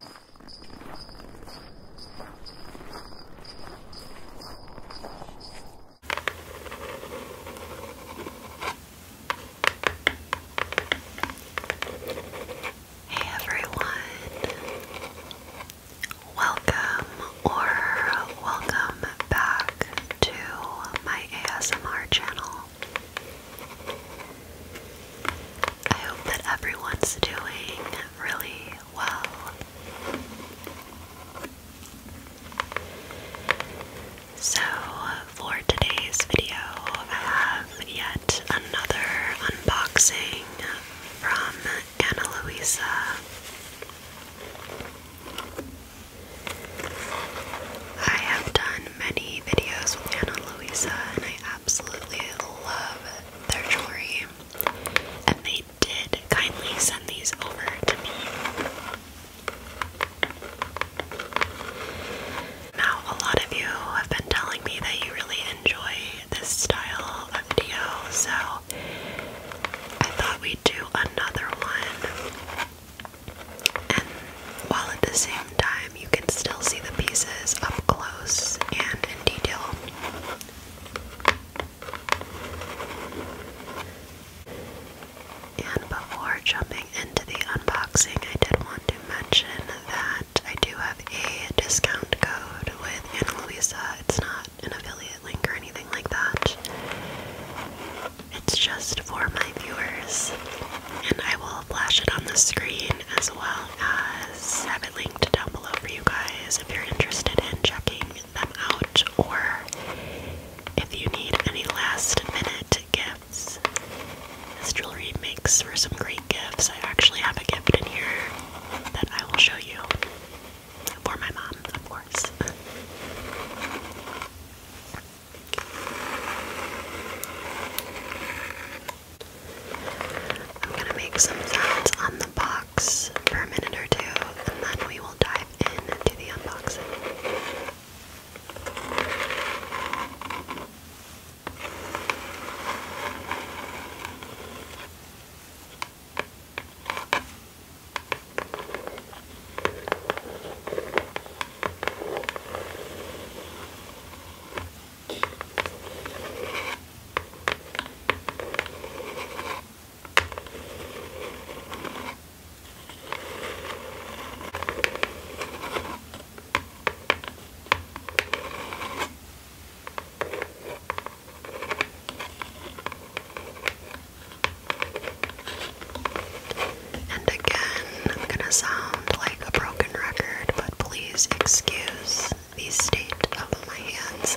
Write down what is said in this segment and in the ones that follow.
Hey everyone, welcome or welcome back to my ASMR channel. I hope that everyone's doing really well. So, for today's video, I have yet another unboxing from Ana Luisa. I have done many videos with Ana Luisa, and I absolutely love their jewelry, and they did kindly send these over to me. Now, a lot of you have been telling me that you really enjoy this style of video, so I thought we'd do another one. And while at the same time, you can still see the pieces up close and in detail. And before jumping into the unboxing, I did want to mention that I do have a discount code with Ana It's not an affiliate link or anything like that. It's just for my viewers. And I will flash it on the screen as well as linked down below for you guys if you're interested in checking them out or if you need any last minute gifts. This jewelry makes for some great gifts. I actually have a gift in here that I will show you for my mom, of course. I'm gonna make some sounds on the box for a minute or two, and then we will dive into the unboxing. And again, I'm gonna sound like a broken record, but please excuse the state of my hands.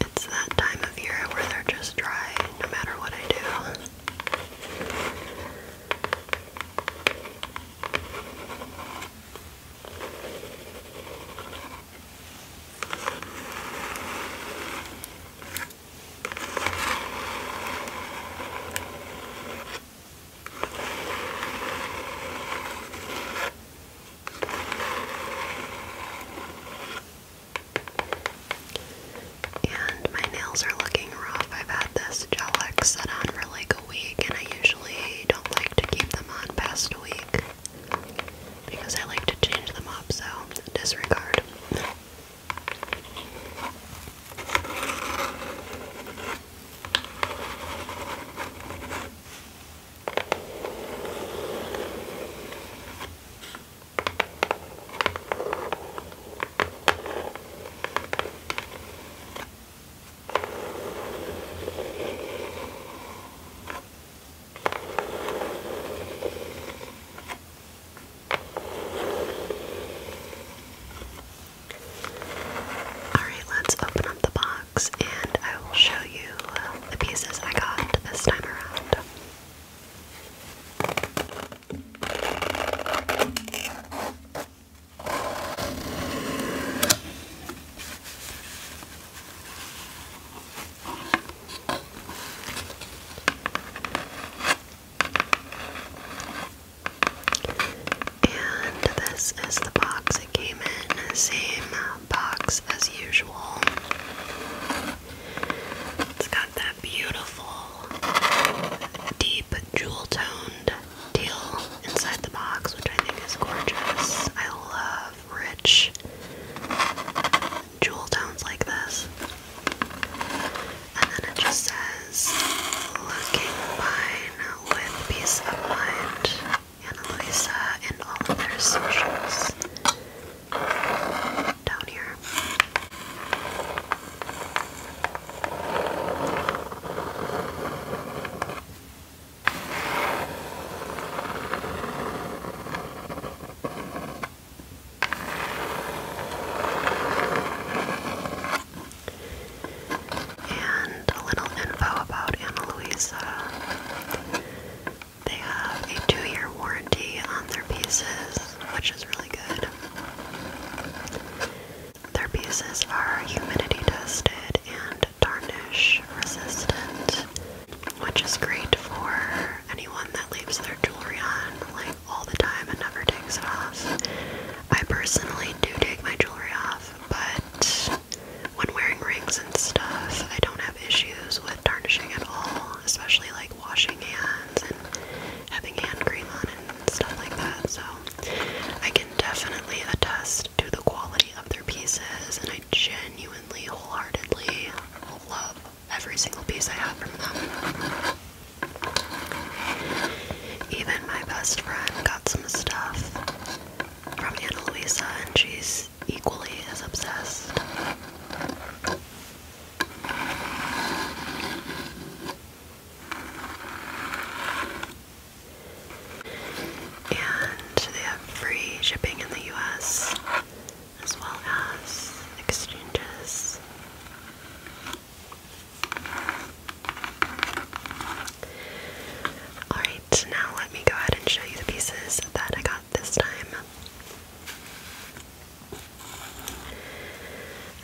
It's that time of year where they're just dry no matter what I do. And my nails are looking rough. I've had this gel set on for like a week, and I usually don't like to keep them on past a week because I like to change them up, so disregard. Alright, let's open up the box and I will show you the pieces I got this time around. And this is the box it came in, same box as usual. It's got that beautiful, deep, jewel toned teal inside the box, which I think is gorgeous. I love rich, jewel tones like this. And then it just says, looking fine with peace of mind, Ana and all of their socials down here. And a little info about Ana Luisa. They have a two year warranty on their pieces, which is really good. Their pieces are humidity tested and tarnish resistant, which is great for anyone that leaves their jewelry on like all the time and never takes it off. I personally do take my jewelry off, but when wearing rings and stuff, I don't have issues with tarnishing at all, especially like washing hands and having hand cream on and stuff like that. So I can definitely attest to the quality of their pieces, and I genuinely, wholeheartedly love every single piece I have from them. Even my best friend got some stuff from Ana Luisa, and she's equally as obsessed. And they have free shipping in the US as well as exchanges. Alright, now let me go ahead and show you the pieces that I got this time.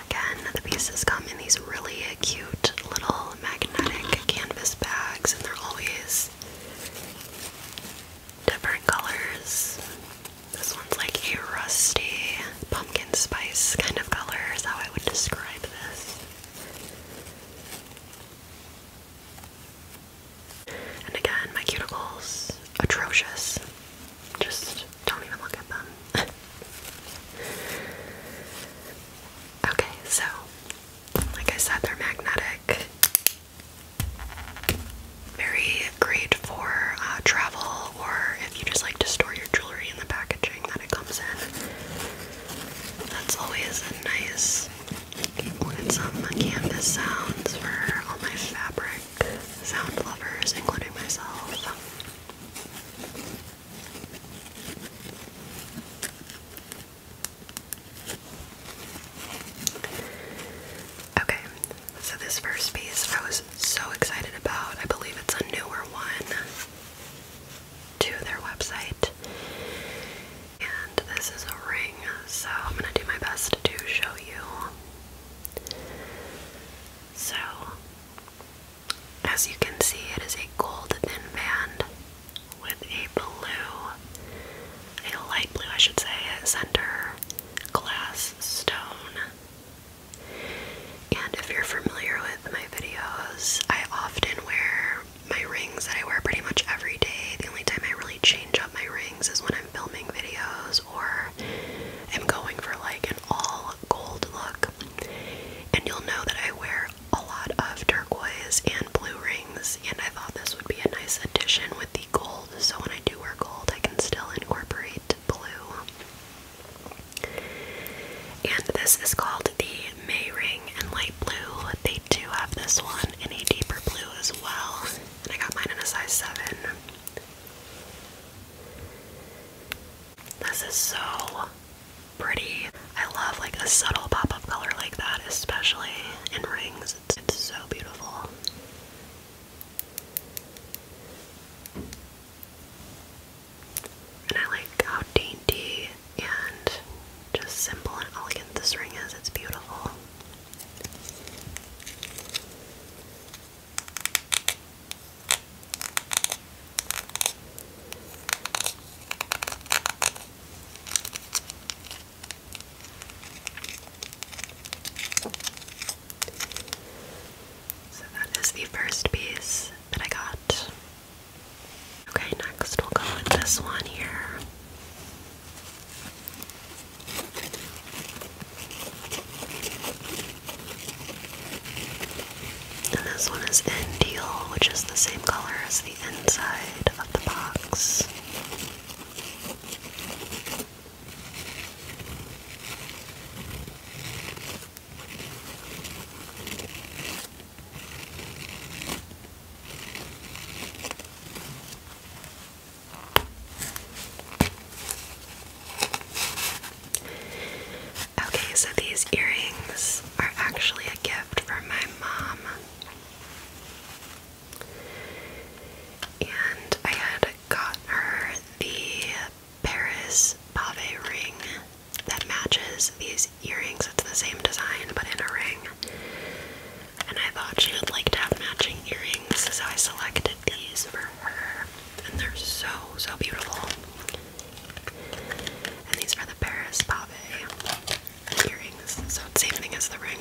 Again, the pieces come in these really cute little magnetic canvas bags, and they're always different colors. This one's like a rusty pumpkin spice kind of color, is how I would describe this. And again, my cuticles, atrocious. Just don't even look at them. okay, so, like I said, they're magnetic. Very great for uh, travel or if you just like to store your jewelry in the packaging that it comes in. That's always a nice. some canvas sounds for all my fabric sound lovers, including myself. Okay, so this first piece I was so excited about. I believe it's a newer one to their website. And this is a ring, so I'm gonna do my best to show you. So, as you can see, it is a gold thin band with a blue a light blue, I should say, center glass stone. And if you're familiar with my videos, I often wear my rings that I wear pretty much every day. The only time I really change up my rings is when I'm filming videos or am going for like an all gold look. And you'll know that I wear a lot of turquoise and blue rings, and I thought this would be a nice addition with the gold so when I do wear gold, I can still incorporate blue. And this is called the May ring and Light Blue. They do have this one in a deeper blue as well. And I got mine in a size 7. This is so pretty. I love like a subtle pop up color like that, especially in rings. It's, so beautiful. And I like how dainty and just simple and elegant this ring is. It's beautiful. So that is the first piece that I got. Okay, next we'll go with this one here. And this one is in teal, which is the same color as the inside of the box. Okay, so these earrings are actually a gift from my mom. And I had got her the Paris Pave ring that matches these earrings. It's the same design but in a ring. And I thought she would like to have matching earrings, so I selected these for her. And they're so, so beautiful. And these are the Paris Pave earrings, so it's same thing as the ring.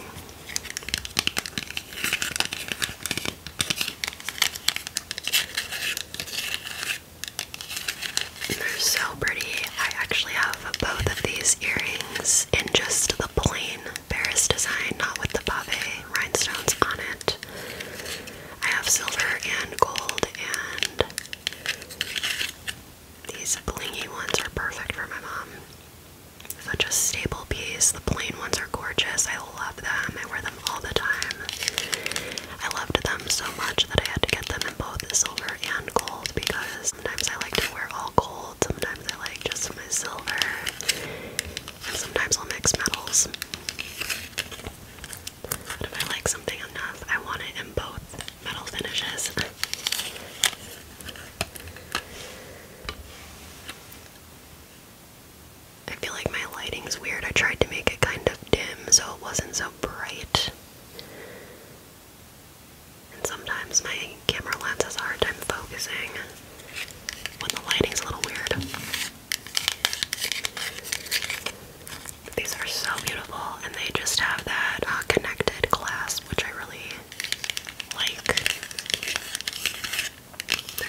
they're so pretty. I actually have both of these earrings in just the plain Paris design, not with the pave rhinestones on it. I have silver and gold, and these blingy ones are perfect for my mom such a staple piece. The plain ones are gorgeous. I love them. I wear them all the time. I loved them so much that I had to get them in both silver and gold because sometimes I like to wear all gold, sometimes I like just my silver, and sometimes I'll mix metals. But if I like something enough, I want it in both metal finishes. I feel like my lighting's weird. I tried to make it kind of dim so it wasn't so bright. And sometimes my camera lens has a hard time focusing when the lighting's a little weird. These are so beautiful, and they just have that uh, connected glass, which I really like they're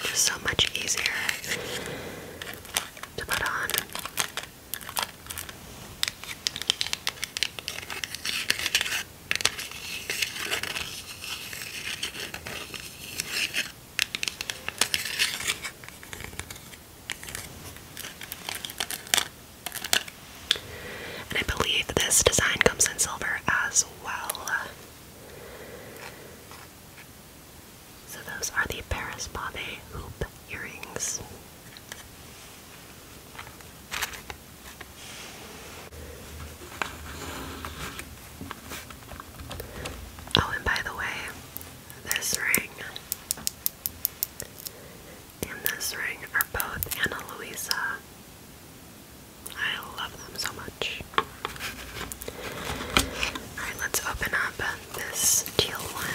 just so much easier to put on. And I believe this design comes in silver as well. So those are the Paris Pavé hoop earrings. Oh, and by the way, this ring and this ring are both Anna Luisa. I love them so much. Alright, let's open up this teal one.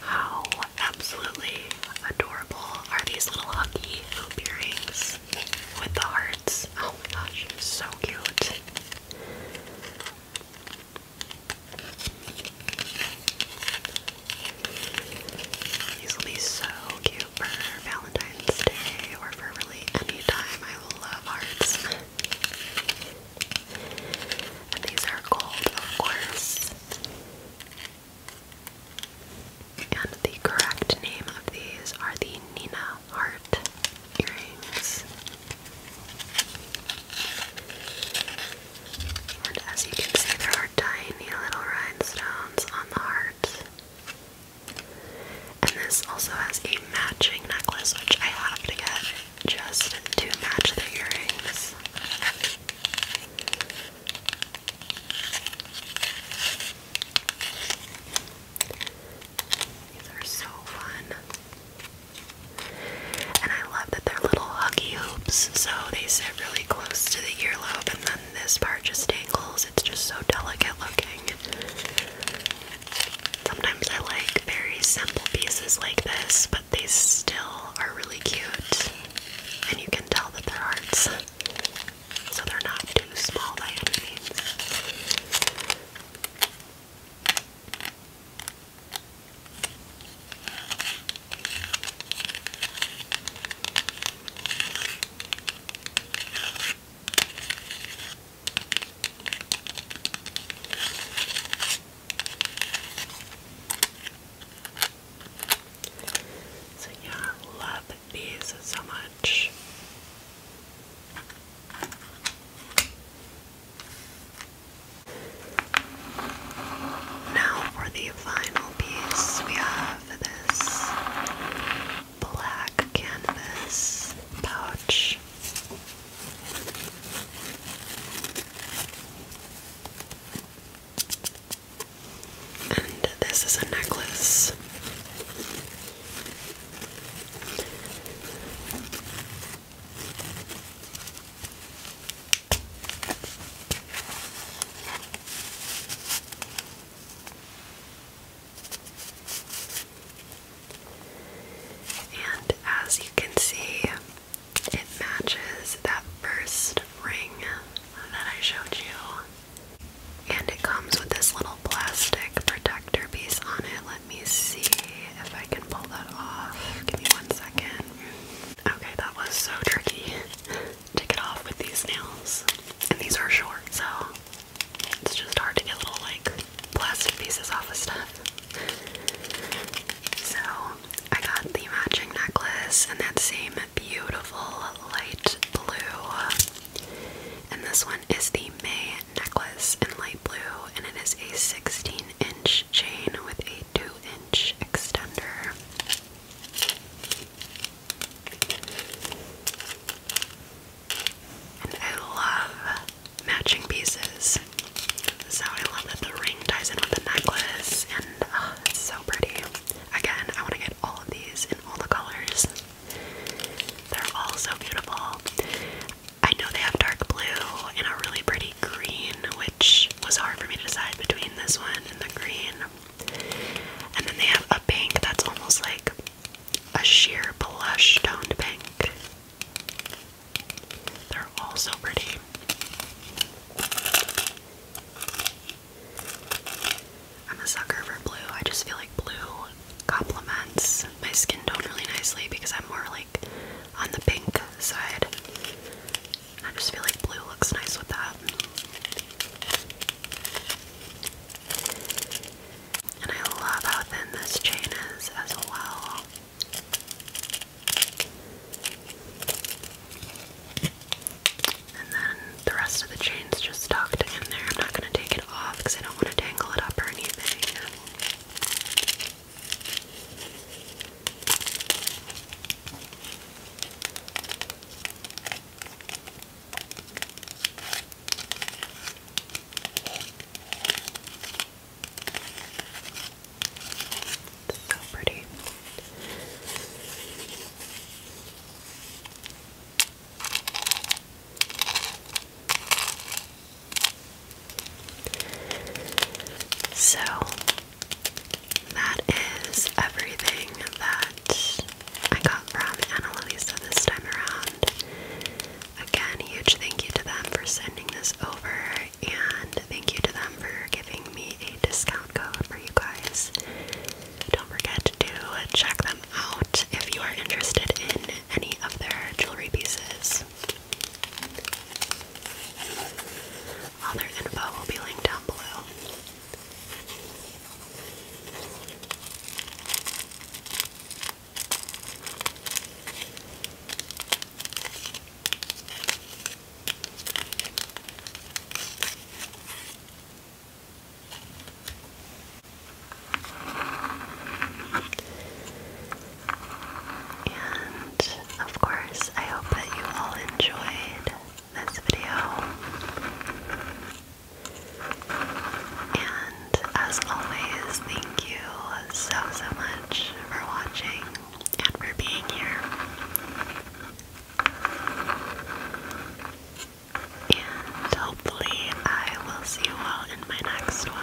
How absolutely adorable are these little huggy hoop earrings with the hearts? Oh my gosh, so cute. These will be so cute for Valentine's Day or for really any time. I love hearts. And these are gold, of course. And the correct name of these are the Nina Heart earrings. And as you can see, there are tiny little rhinestones on the heart. And this also has a matching necklace, which I have to get just to match the earrings. These are so fun. And I love they're little huggy hoops, so they sit really close to the earlobe, and then this part just dangles. It's just so delicate looking. Sometimes I like very simple pieces like this, but they still are really cute, and you can tell that they're hearts, so they're not too small so yeah, I love these so much. Now for the final piece, we have this black canvas pouch. And this is a necklace. And as you can see, it matches that first ring that I showed you. And it comes with this little plastic protector piece on it. Let me see if I can pull that off. Give me one second. Okay, that was so tricky. to get off with these nails. And these are short, so it's just hard to get little like plastic pieces off of stuff. So I got the matching necklace and that same beautiful light blue. And this one is the May necklace in light blue, and it is a 16 inch chain with a two inch extender. I love matching pieces. So I love that the ring ties in with the necklace, and oh, it's so pretty. Again, I want to get all of these in all the colors. They're all so beautiful. I know they have dark blue and a really pretty green, which was hard for me to decide between this one and the green. And then they have a pink that's almost like a sheer blush toned pink. They're all so pretty. I'm a sucker for blue. I just feel like blue complements my skin tone really nicely because I'm more like on the pink side. I just feel like blue looks nice with that. And I love how thin this chain is as well. And then the rest of the chain's just tucked in there. I'm not going to take it off because I don't want to tangle it up or anything. It's so pretty. So, that is everything that I got from Ana this time around. Again, huge thank you to them for sending this over, and thank you to them for giving me a discount code for you guys. Don't forget to check them out if you are interested in any of their jewelry pieces. All their info will be linked down below. And of course, I hope that you all enjoyed this video. And as always, thank you so, so much for watching and for being here. And hopefully, I will see you all in my next one.